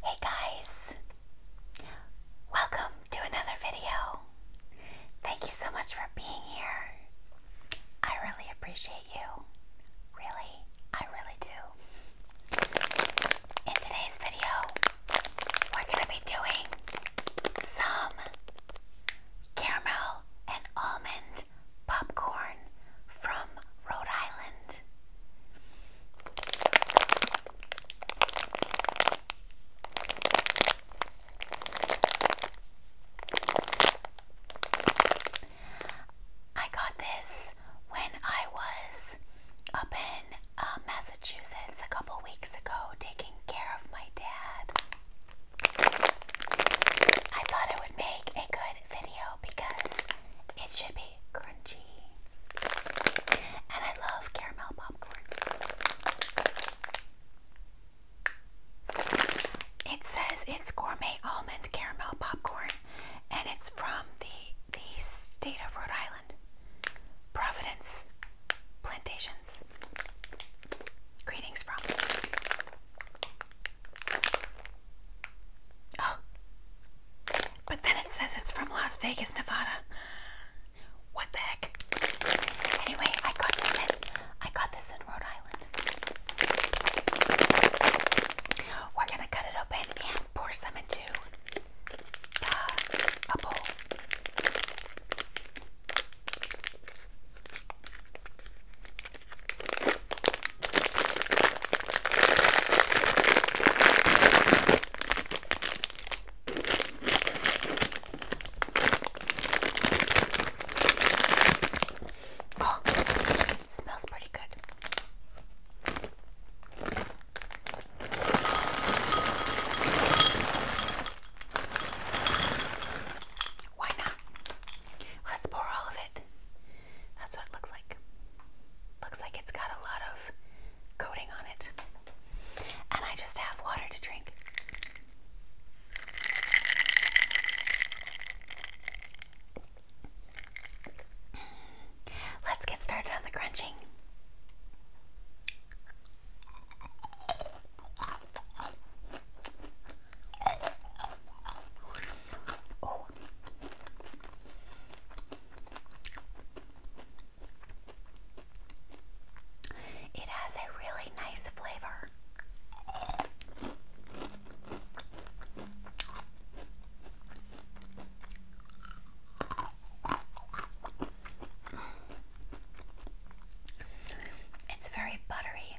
Hey guys, welcome to another video. Thank you so much for being here. I really appreciate you. Really, I really do. In today's video, we're going to be doing some caramel and almond popcorn from Rhode Island. I got this when I was up in uh, Massachusetts a couple weeks ago taking care of my dad. I thought it would make a good video because it should be crunchy. And I love caramel popcorn. It says it's gourmet almond caramel popcorn and it's from the the state of Rhode Island. Providence Plantations. Greetings from Oh. But then it says it's from Las Vegas, Nevada. What the heck? Anyway, I got this in I got this in Rhode Island. We're gonna cut it open and pour some into the bowl. Oh, smells pretty good. Why not? Let's pour all of it. That's what it looks like. Looks like it's got a lot of coating on it. And I just have water to drink. Let's get started on the crunching. Oh. It has a really nice flavor. It's very buttery.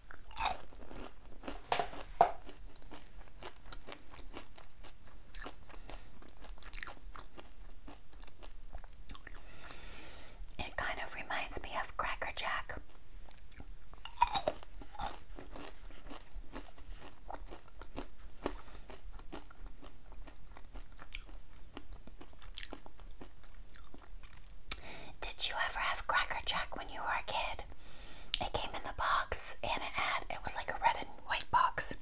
It kind of reminds me of Cracker Jack. Did you ever have Cracker Jack when you were a kid? It came in the box and it had, it was like a red and white box.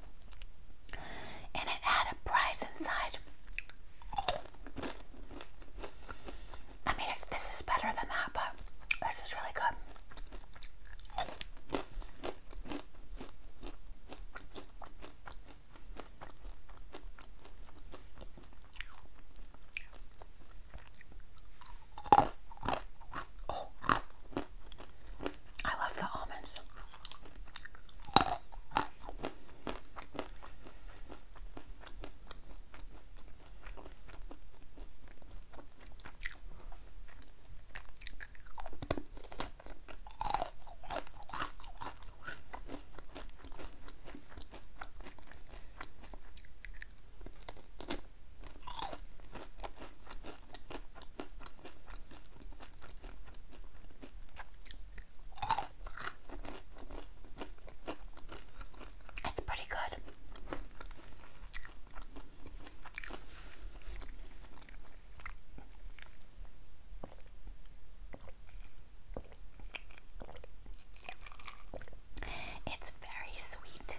And it had a prize inside. I mean, this is better than that, but this is really good. Oh. I love the almonds. It's pretty good. It's very sweet.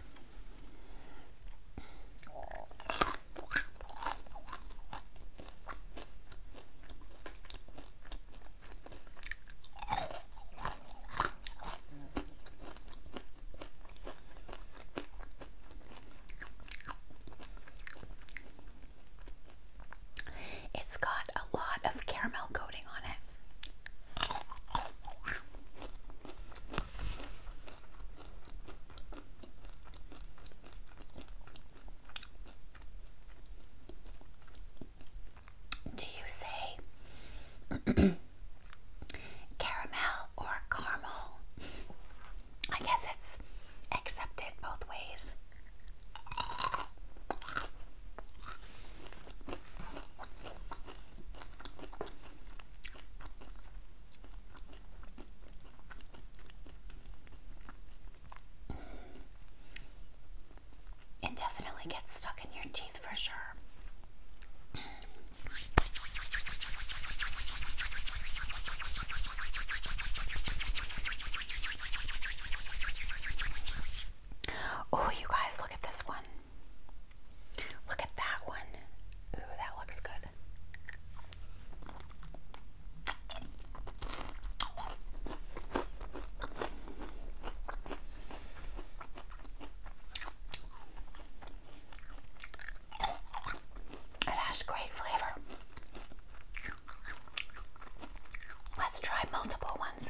It's got a lot of caramel coating on it. Do you say caramel or caramel? I guess it's accepted both ways. It definitely gets stuck in your teeth for sure. Oh, you guys, look at this one. Look at that one. Ooh, that looks good. It has great flavor. Let's try multiple ones.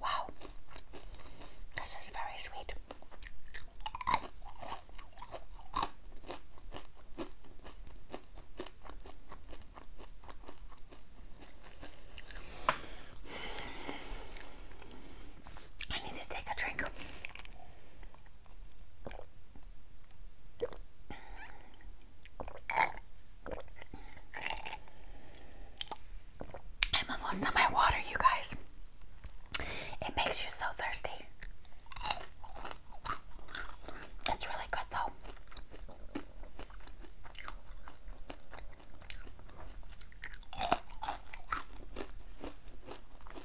Wow, this is very sweet. I need to take a drink. I'm almost on my water, you guys. It makes you so thirsty. It's really good though.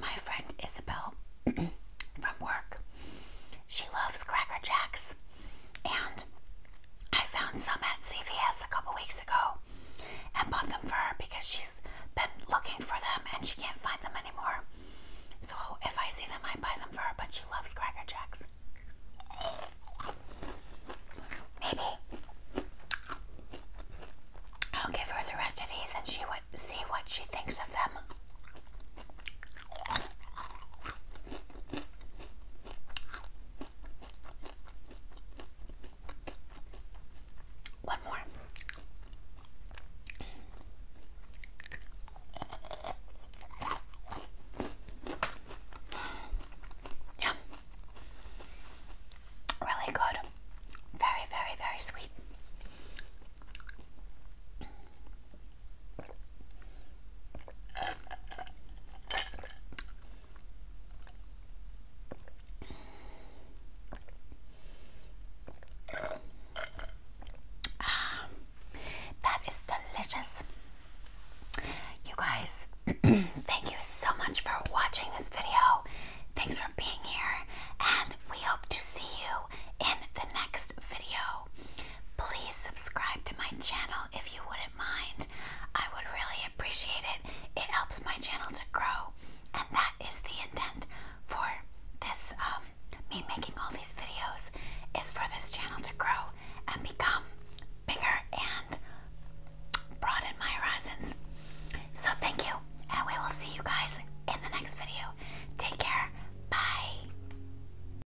My friend Isabel from work. She loves Cracker Jacks. And I found some at CVS a couple weeks ago and bought them for her because she's been looking for them and she can't find them anymore. So if I see them, I buy them for her, but she loves Cracker Jacks. Maybe I'll give her the rest of these and she would see what she thinks of them. One more. Yeah. Really good. Very, very, very sweet. Ah, that is delicious. You guys, thank you so much for watching this video. Thanks for being here, and we hope to see you in the next video. Please subscribe to my channel if you wouldn't mind. I would really appreciate it. It helps my channel to grow, and that is the intent for this um, me making all these videos is for this channel to grow and become bigger and broaden my horizons. So thank you, and we will see you guys in the next video. Take care. Bye.